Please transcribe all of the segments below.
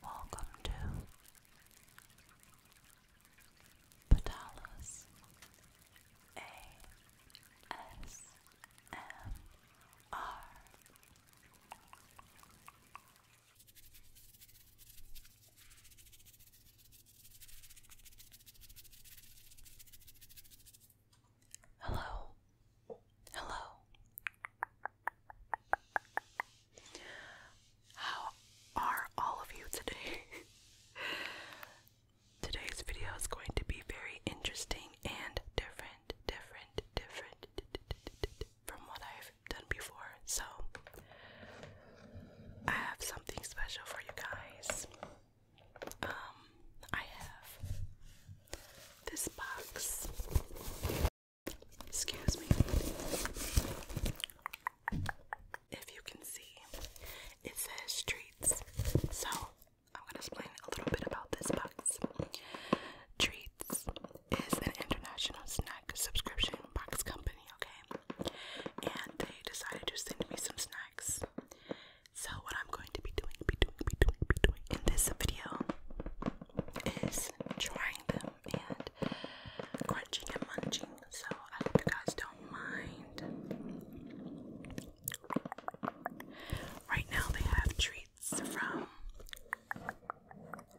Welcome to Patalas ASMR. Hello, hello, how are all of you today? Today's video is going to be very interesting and different, different, different from what I've done before. So, I have something special for you guys. Um, I have this box. Excuse me. If you can see, it says treats. So I'm gonna explain a little bit about this box. Treats is an international snack subscription box company, okay? And they decided to send me some snacks. So what I'm going to be doing, be doing, be doing, be doing in this video is trying them and crunching and munching. So I hope you guys don't mind. Right now they have treats from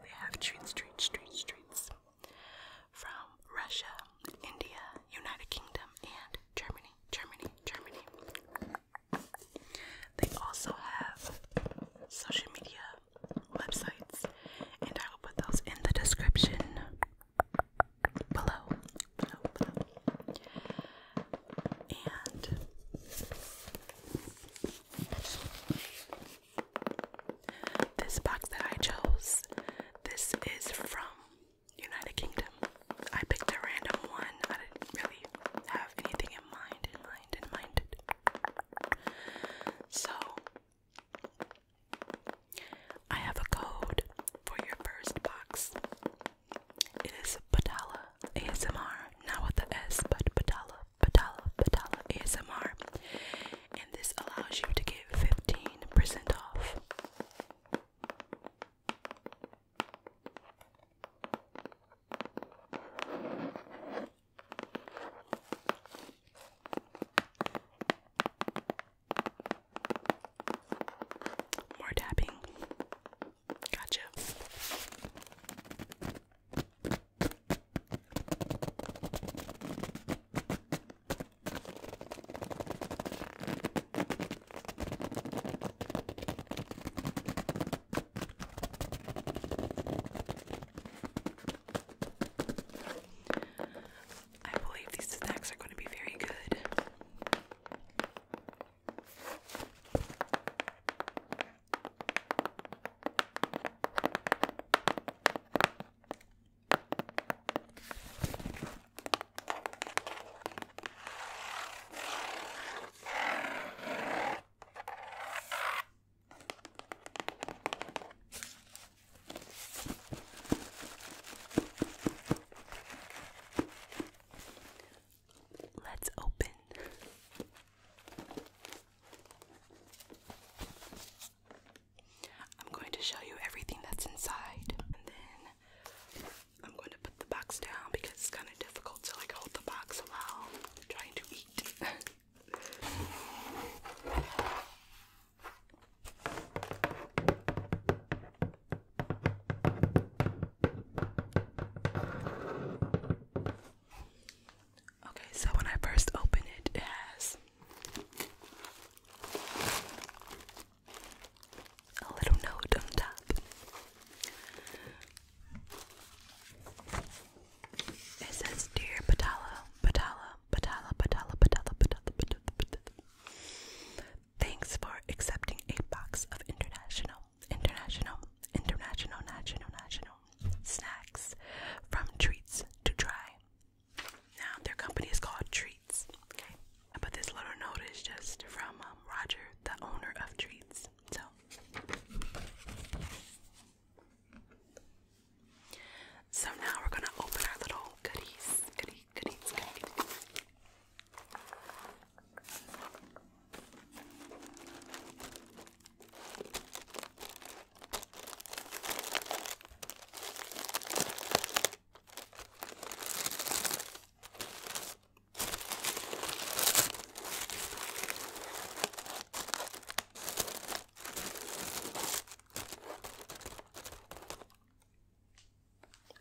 they have treats, treats, treats, treats from Russia, India, United Kingdom, and Germany, Germany, Germany. They also have social media websites, and I will put those in the description below. And this box that I chose, this is from United Kingdom. I picked a random one. I didn't really have anything in mind, in mind, in mind. So, I have a code for your first box. It is Patala ASMR, not with the S, but Patala, Patala, Patala ASMR. And this allows you to get 15% off. More tapping. Gotcha. I believe these snacks are going to be very good. Let's open. I'm going to show you everything that's inside and then I'm going to put the box down because it's kind of difficult to like hold the box while trying to eat. Okay, so when I first open it, it has a little note on top. It says, Dear Patala, Patala, Patala, Patala, Patala, Patala, Patala, Thanks for accepting a box of international, international, international, national, national snacks from treats to try. Now, their company is called Treats. Okay, but this little note is just from um, Roger, the owner of Treats. So, so now we're gonna open our little goodies, goodies, goodies, goodies.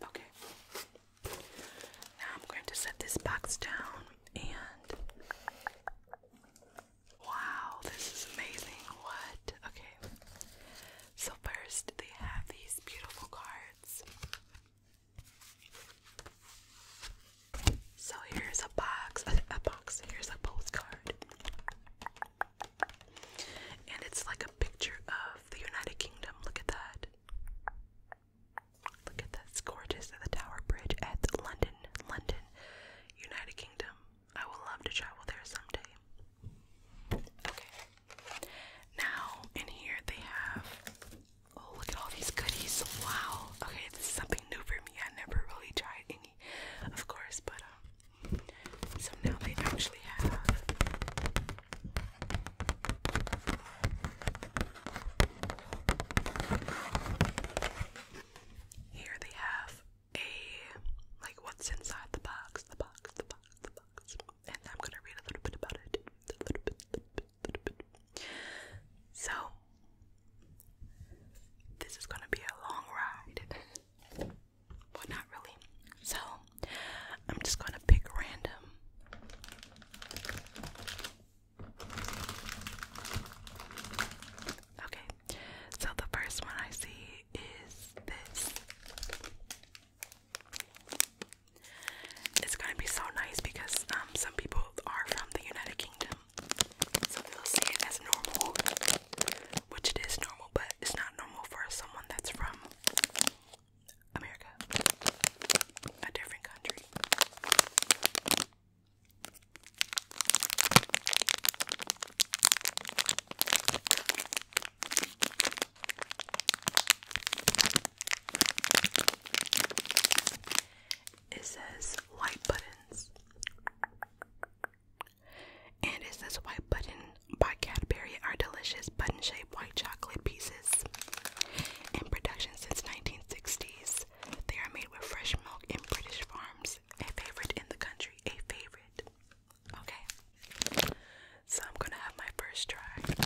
Okay. Now I'm going to set this box down and wow, this is amazing. What? Okay. So first they have these beautiful cards. So here's a box, a box, here's a postcard. And it's like a picture of the United Kingdom. Look at that. Look at that. It's gorgeous at the Tower Bridge at London, London, United Kingdom. I would love to travel there someday. Okay. Now, in here they have Oh, look at all these goodies. Wow. Okay, this is something new for me. I never really tried any, of course, but um, so now they actually have. Here they have a like what's inside the box, the box, the box, the box, and I'm gonna read a little bit about it. A little bit, little bit, little bit. So, this is gonna be a long ride, but not really. So, I'm just gonna pick random. Okay, so the first one I see is this. It's gonna be so nice because um, some people are from the United Kingdom some people see it as normal, which it is normal, but it's not normal for someone that's from America, a different country it says white buttons. And it says white button by Cadbury are delicious button-shaped white chocolate pieces in production since 1960s. They are made with fresh milk in British farms. A favorite in the country. A favorite. Okay. So I'm gonna have my first try.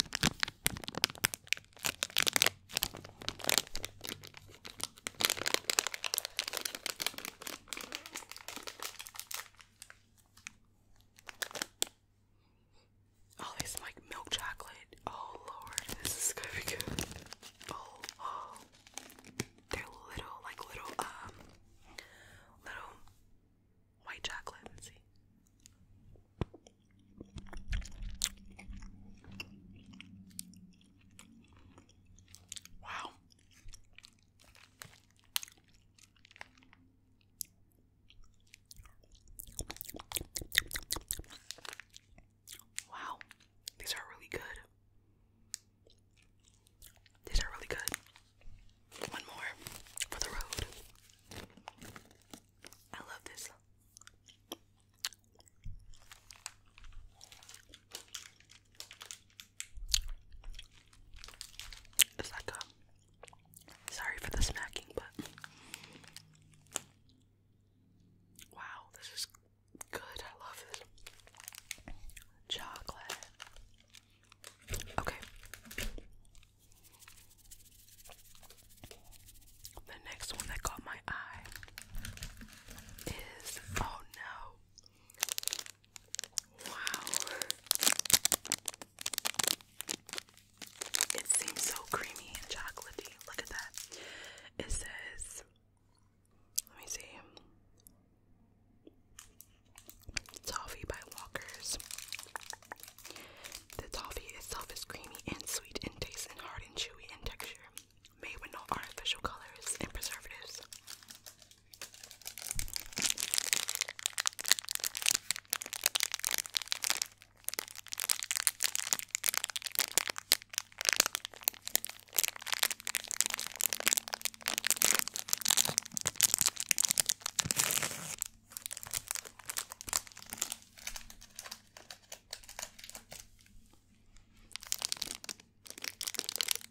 Oh, it's like milk chocolate. Oh lord, this is gonna be good. Oh, oh. They're little, like little, um, little white chocolate. Let's see. Wow. Wow. These are really good. These are really good. One more for the road. I love this. It's sorry for the smacking, but wow, this is good. I love this chocolate. Okay. The next one that caught my eye is oh no. Wow. It seems so creamy and chocolatey. Look at that. It says let me see. Toffee by Walkers. The toffee itself is creamy and sweet in taste and hard and chewy in texture made with no artificial colors and preservatives.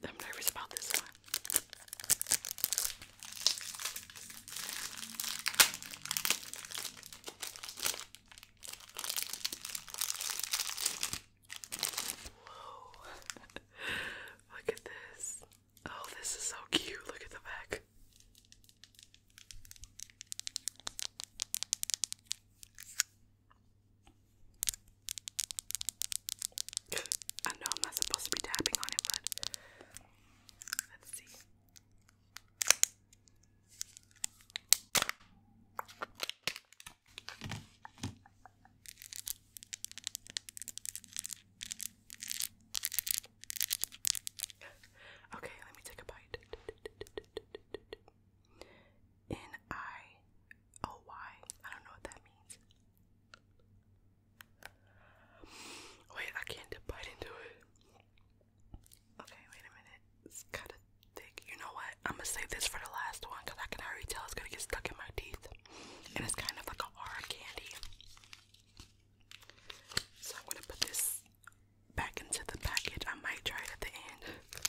I'm nervous about this one. Look at this. Oh, this is so cute. Look at the back. I know I'm not supposed to be tapping on it, but let's see. Okay, let me take a bite. N I O Y. I don't know what that means. Wait, I can't bite into it. Okay, wait a minute. It's kinda thick. You know what? I'm gonna save this for the last one because I can already tell it's gonna get stuck in my teeth. And it's kind of like a hard candy. So I'm gonna put this back into the package. I might try it at the end.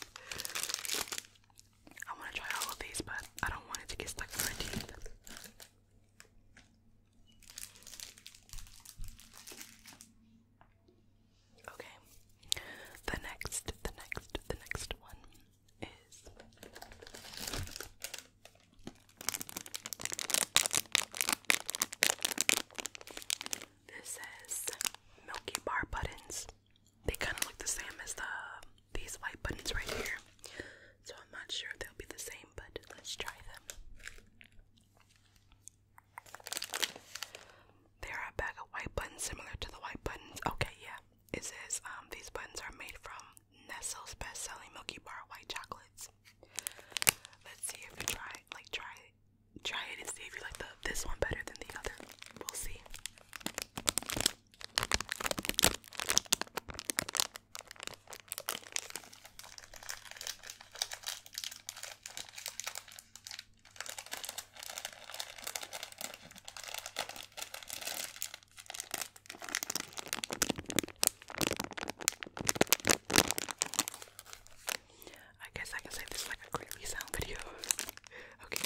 I want to try all of these, but I don't want it to get stuck in my teeth. Okay. The next, the next, the next one is this says Milky Bar buttons. They kind of look the same as the these white buttons right here. So I'm not sure if they'll be the same, but let's try them. There are a bag of white buttons similar to the white buttons. Okay, yeah. It says um, these buttons are made from Nestle's best-selling Milky Bar white chocolates. Let's see if we try, like, try try it and see if you like the this one better than the other. We'll see. I guess I can say this is like a creepy sound video. okay.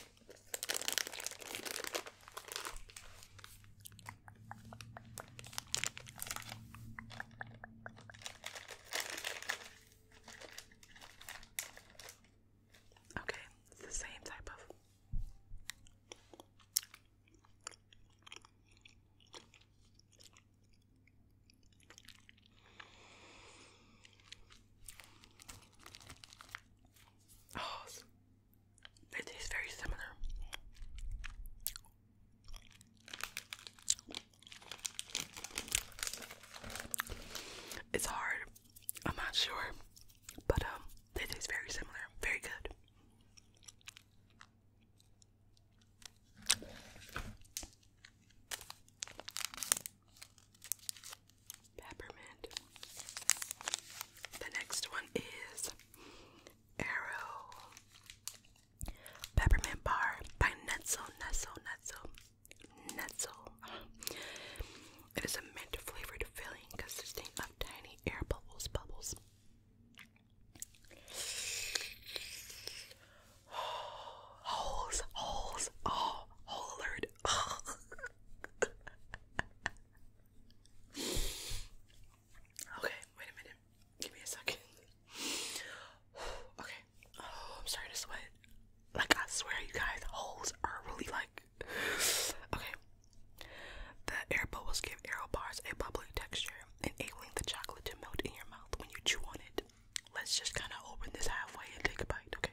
Okay, it's the same type of. Oh, they very similar. It's hard. I'm not sure, but um, they very similar. Very good. Peppermint. The next one is Arrow Peppermint Bar by Netzo, Netzo, Netzo, Netzo. It is a mint flavored filling consisting of tiny air bubbles, bubbles. holes, holes, oh, hole alert. Oh. okay, wait a minute. Give me a second. okay. Oh, I'm starting to sweat. Like I swear you guys, holes are really like okay. The air bubbles give arrow bars a bubbly texture, enabling the chocolate to melt in your mouth when you chew on it. Let's just kinda open this halfway and take a bite, okay?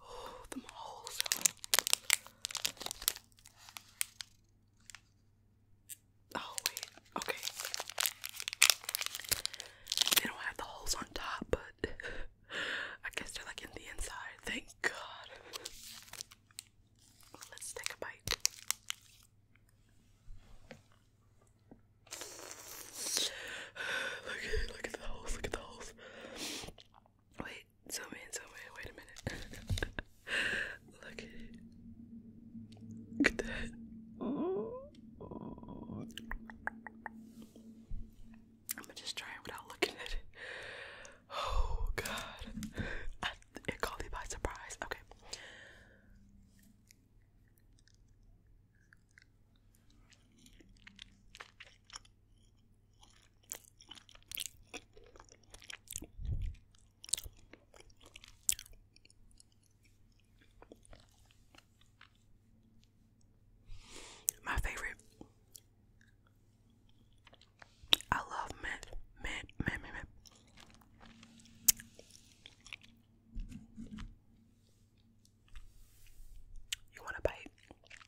Oh, the moles. Oh wait, okay. They don't have the holes on top, but I guess they're like in the inside. Thank God. Let's take a bite. Look at look at the holes, look at the holes. Wait, zoom in, zoom in, wait a minute. Look at it. Look at that. Oh. I'm just try without looking at it. Oh god. it caught me by surprise. Okay. My favorite. I love mint, mint, mint, mint, mint. You want a bite?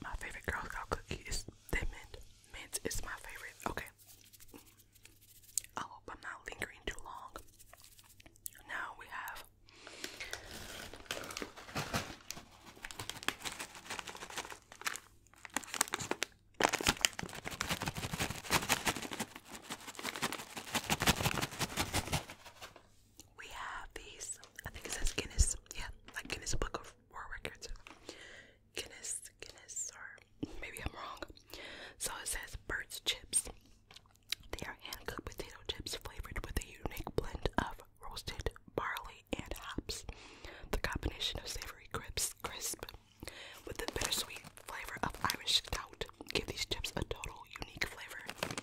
My favorite Girl Scout cookie is the mint. Mint is my favorite. Okay. I hope I'm not lingering too long. Now we have we have these. I think it says Guinness. Yeah, like Guinness Book of World Records. Guinness, Guinness, or maybe I'm wrong. So it says Burt's Chips. They are hand cooked potato chips flavored with a unique blend of roasted barley and hops. The combination of savory crisps, crisp with the bittersweet flavor of Irish stout give these chips a total unique flavor.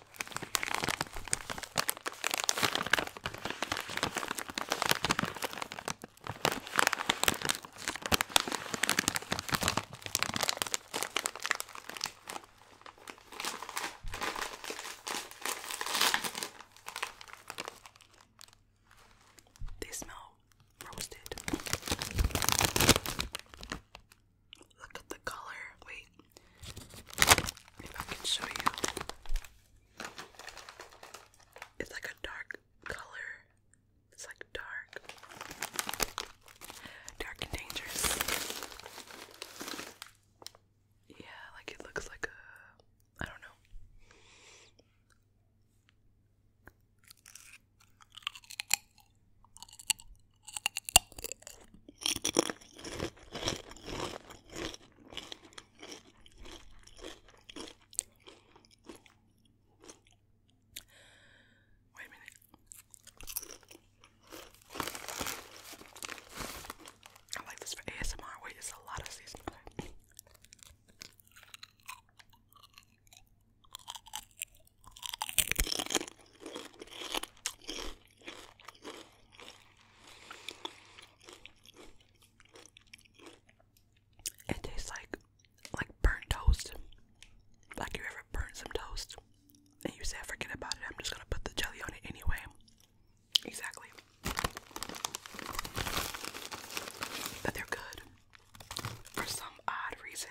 They smell roasted. Look at the color. Wait, if I can show you, it's like a dark color. It's like dark, dark and dangerous. Yeah, like it looks like a, I don't know. Wait a minute. I like this for ASMR where it's a lot of seasoning. It tastes like like burnt toast. Like you ever burnt some toast and you say forget about it, I'm just gonna put the jelly on it anyway. Exactly. But they're good for some odd reason.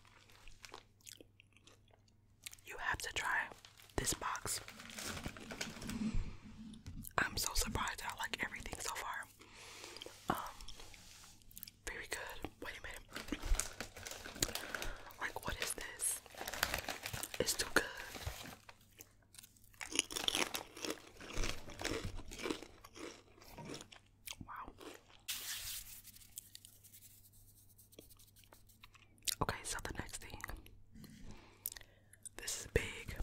You have to try this box. I'm so surprised I like everything so far. Um, very good. Wait a minute. Like, what is this? It's too good. Wow. Okay, so the next thing. This is big.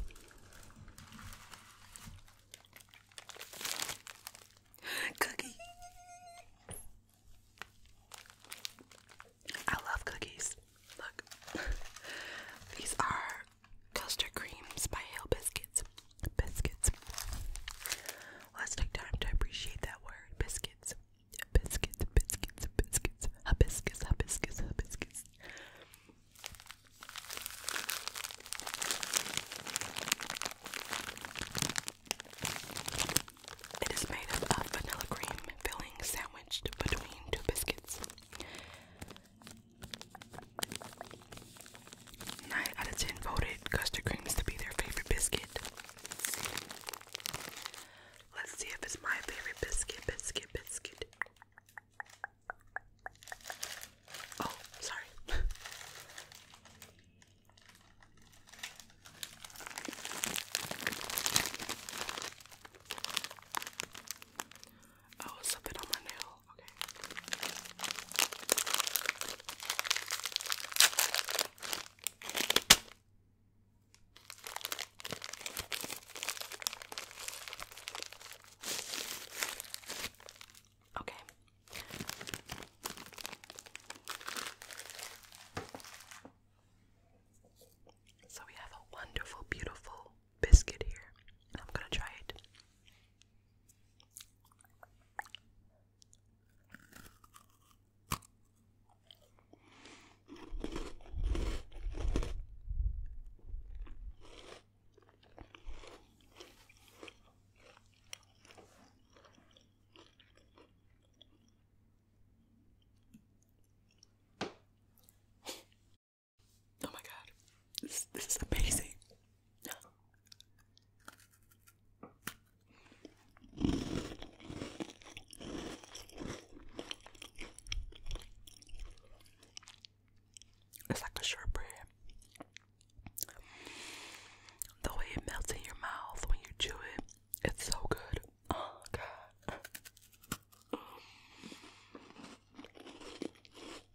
Cookie. I love cookies. Look. These are custard creams by Hale Biscuits. Biscuits. Let's take time to appreciate that word. Biscuits. Biscuits, biscuits, biscuits. Hibiscus, hibiscus, hibiscus. It is made of a vanilla cream filling sandwiched between two biscuits. 9 out of 10 voted custard creams to be their favorite biscuit. Let's see if it's my favorite biscuit, biscuit, biscuit. Oh, sorry. oh, something on my nail. Okay. Okay. So we have a wonderful, beautiful biscuit here, I'm gonna try it. Oh my god, this, this is amazing. It's like a shortbread. The way it melts in your mouth when you chew it, it's so good. Oh god.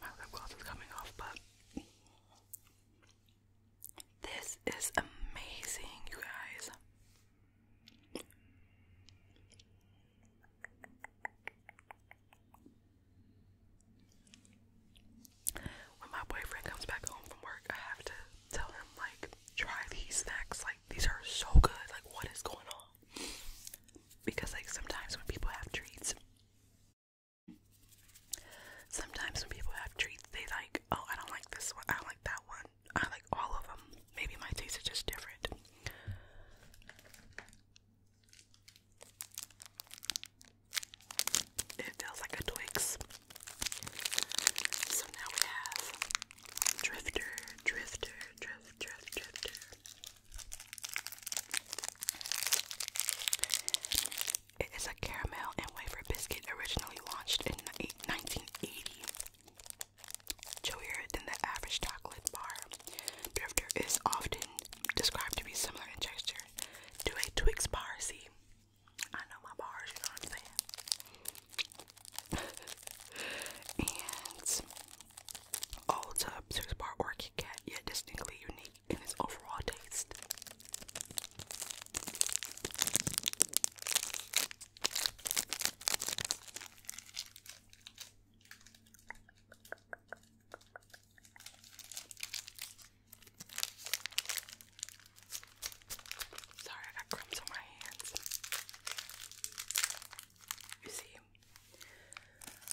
My lip gloss is coming off, but this is amazing, you guys. When my boyfriend comes back home from work, I have to tell him, like, try these snacks. Like, these are so good. Like, what is going on? Because, like, sometimes when people have treats, Sometimes when people have treats, they like, oh, I don't like this one, I like that one, I like all of them. Maybe my tastes are just different. It feels like a Twix. So now we have Drifter, Drifter, Drift, Drift, Drifter. It is a caramel and wafer biscuit originally launched in 1980. Chewier than the average chocolate bar. Drifter is often described to be similar in texture to a Twix bar. See, I know my bars, you know what I'm saying? and Ulta, six bar or Kit yet distinctly unique in its overall taste. Sorry, I got crumbs on my hands. You see,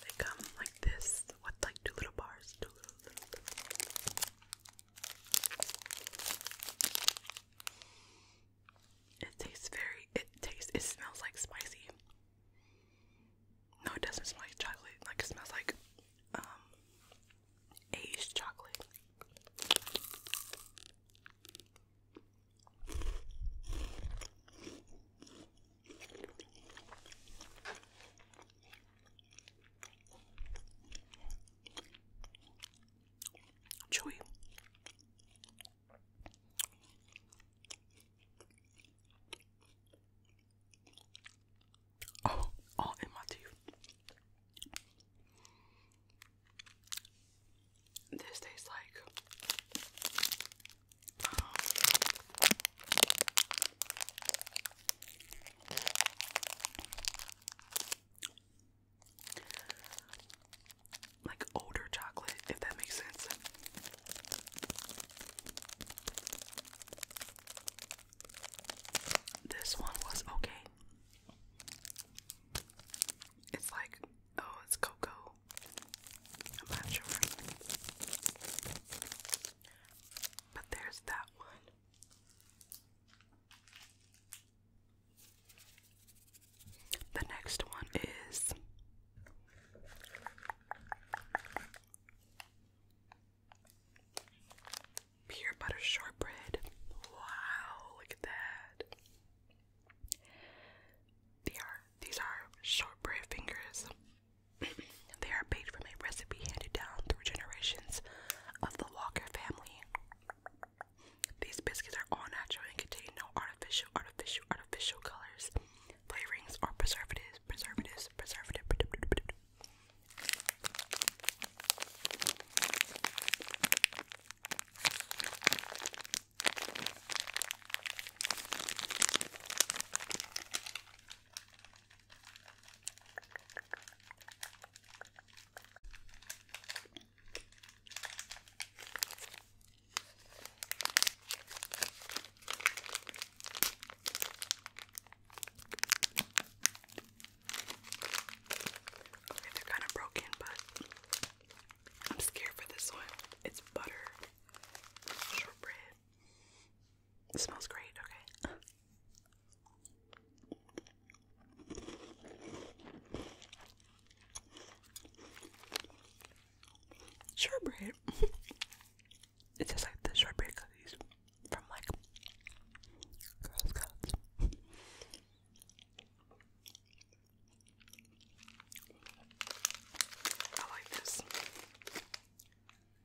they come like this, with like two little bars, two little, It tastes very, it tastes, it smells like spicy. No, it doesn't smell like chocolate. Like it smells like um, aged chocolate. Chewy. Oh, all in my teeth. This tastes like Oh. like older chocolate, if that makes sense. This one was okay. It's like, oh, it's cocoa. I'm not sure. But there's that one. The next one is pure butter shortbread. Wow, look at that. They are, these are shortbread fingers they are made from a recipe handed down through generations of the Walker family. These biscuits are all natural and contain no artificial, artificial, artificial colors, flavorings, or preservatives, preservatives, preservative. Okay, they're kind of broken, but I'm scared for this one. It's butter, shortbread. It smells great, okay? Shortbread. It's just like the strawberry cookies from like Girl Scouts. I like this.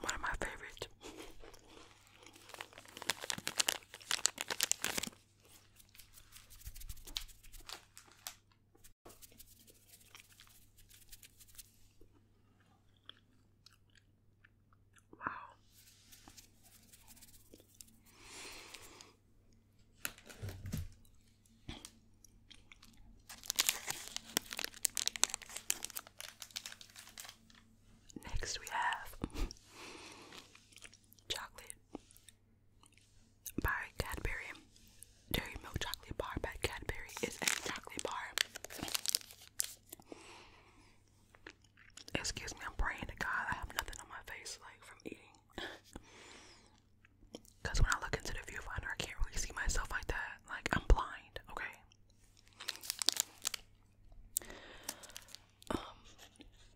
One of my favorites. Wow. Next, we have chocolate by Cadbury. Dairy milk chocolate bar by Cadbury is a chocolate bar. Excuse me, I'm praying to God. I have nothing on my face like from eating. Cause when I look into the viewfinder, I can't really see myself like that. Like I'm blind, okay? Um,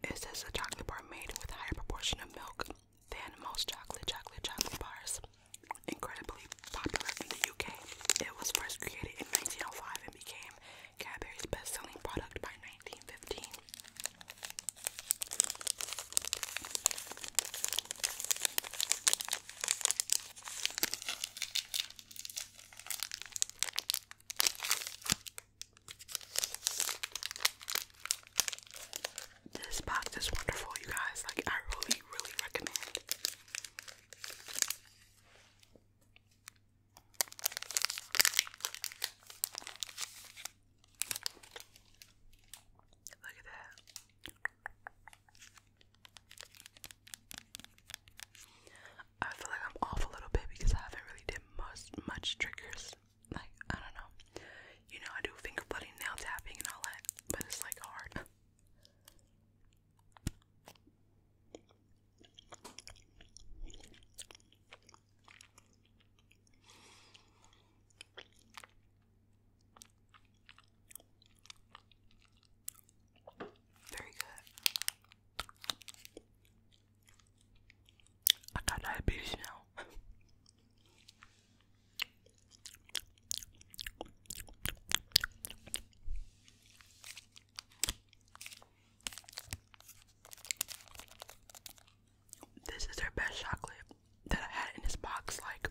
it a chocolate bar made with higher proportion of milk than most chocolate chocolate chocolate bars. Incredibly popular in the UK, it was first created in 1905 and became Cadbury's best-selling product by 1915. This box is wonderful, you guys. Like, I really, really recommend. Look at that. I feel like I'm off a little bit because I haven't really did most much triggers. Like, I don't know. You know, I do finger flooding, nail tapping, and all that, but it's like hard. Very good. I got diabetes now. This is their best chocolate that I had in this box like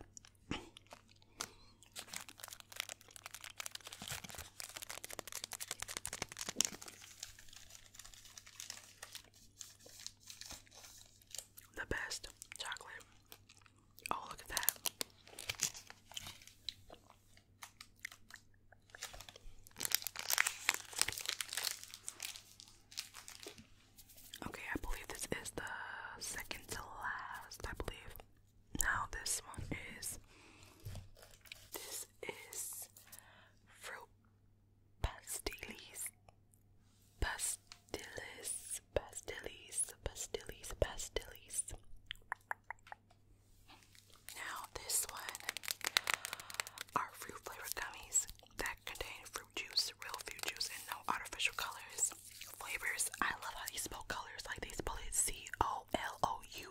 the best chocolate. Oh, look at that. Okay, I believe this is the second to last, I believe. Now this one is this is fruit pastilles pastilles pastilles pastilles pastilles. Now this one are fruit flavored gummies that contain fruit juice, real fruit juice and no artificial colors flavors. I love how they spell colors. Like they spell it C O L O U.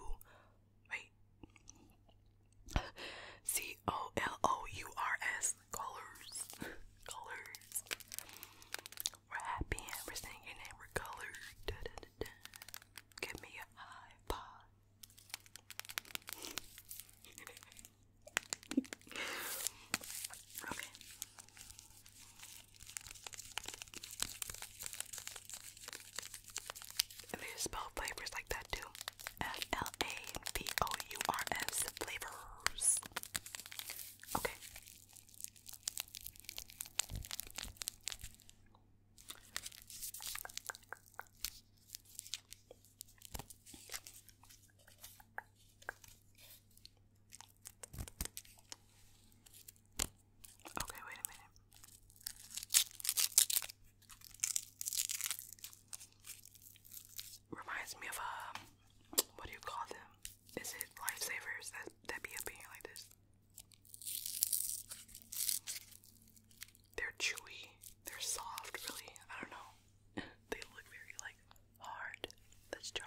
Wait. C O L O U R S. Colors. colors. We're happy we're singing and we're colored. Give me a high five. okay. And they spell flavors like that too. F L A V O U R S flavors. Okay. Okay, wait a minute. Reminds me of um, what do you call them? Is it lifesavers that that be up in like this? They're chewy. They're soft, really. I don't know. they look very like hard. Let's try.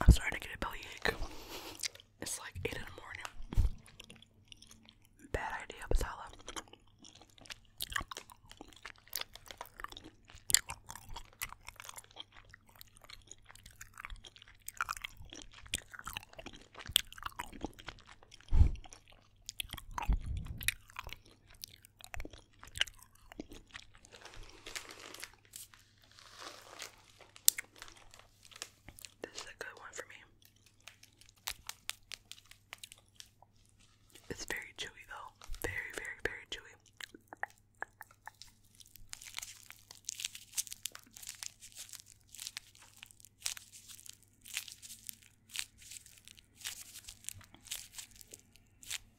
I'm starting to get a belly ache. It's like 8 in the morning. Bad idea, Basala. This is a good one for me. It's very chewy though. Very, very, very chewy.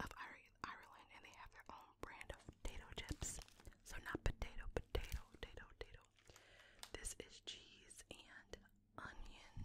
of Ireland, and they have their own brand of potato chips. So not potato, potato, potato, potato. This is cheese and onion.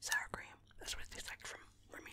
Sour cream. That's what it tastes like from for me.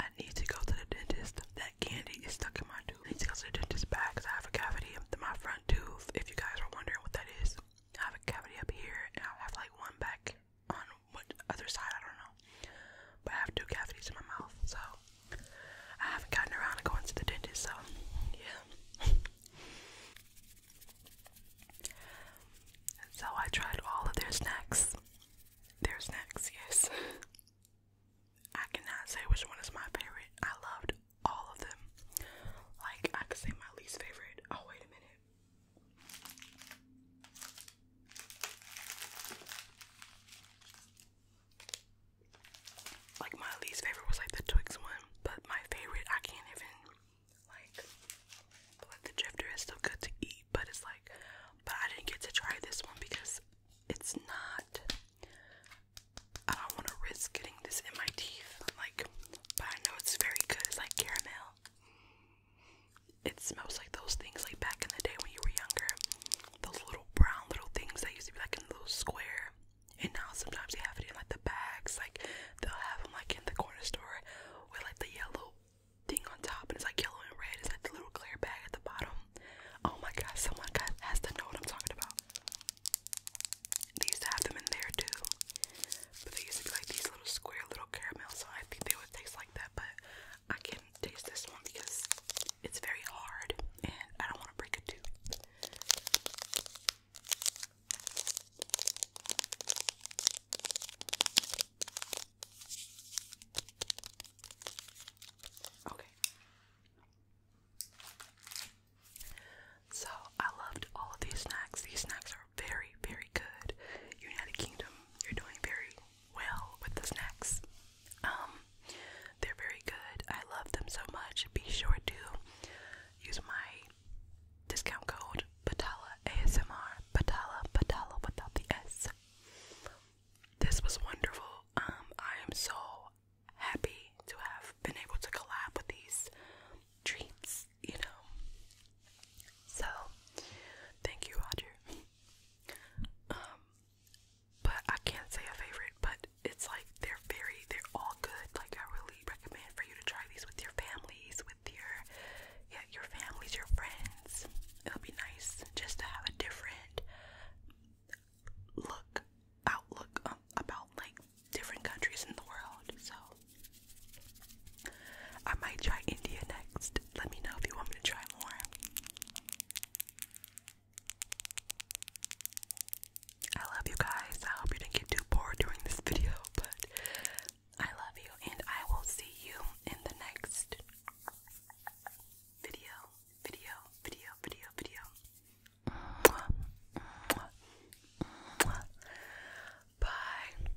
I need to go to the dentist. That candy is stuck in my tooth. I need to go to the dentist back because I have a cavity in my front tooth. If you guys are wondering what that is, I have a cavity up here and I have like one back on what other side, I don't know. But I have two cavities in my mouth, so I haven't gotten around to going to the dentist, so yeah. so I tried all of their snacks. Their snacks, yes. I cannot say which one is my favorite. I loved all of them. Like I could say my least favorite. Oh wait a minute. Like my least favorite was like the Twix one, but my favorite I can't even like. like the Drifter is still good to eat, but it's like, but I didn't get to try this one because it's not. I don't want to risk getting this in my teeth, like. But I know it's very good. It's like caramel. It smells like those things like back in the day when you were younger. Those little brown little things that used to be like in a little square. And now sometimes they have it in like the bags. Like they'll have them like in the corner store with like the yellow thing on top and it's like yellow and red. It's like the little clear bag at the bottom. Oh my god, someone got, has to know what I'm talking about. They used to have them in there too. But they used to be like these little square little caramels, so I think they would taste like that. But I can taste this one because it's very hard, and I don't want to break it too. Okay. So I loved all of these snacks. These snacks very, very good. United Kingdom, you're doing very well with the snacks. Um, they're very good. I love them so much. Be sure to use my discount code Patala ASMR. Patala, Patala without the S. This was wonderful. Um, I am so happy to have been able to collab with these treats you know. So, thank you, Roger. Um, but I can't say a favorite, but it's like they're very, they're all good. Like I really recommend for you to try these with your families, with your, yeah, your families, your friends. It'll be nice just to have a different look, outlook um, about like different countries in the world. So I might try India next. Let me know if you want me to try more. I love you guys. I hope you didn't get too bored during this video, but I love you and I will see you in the next video, video, video, video, video. Mwah, Bye.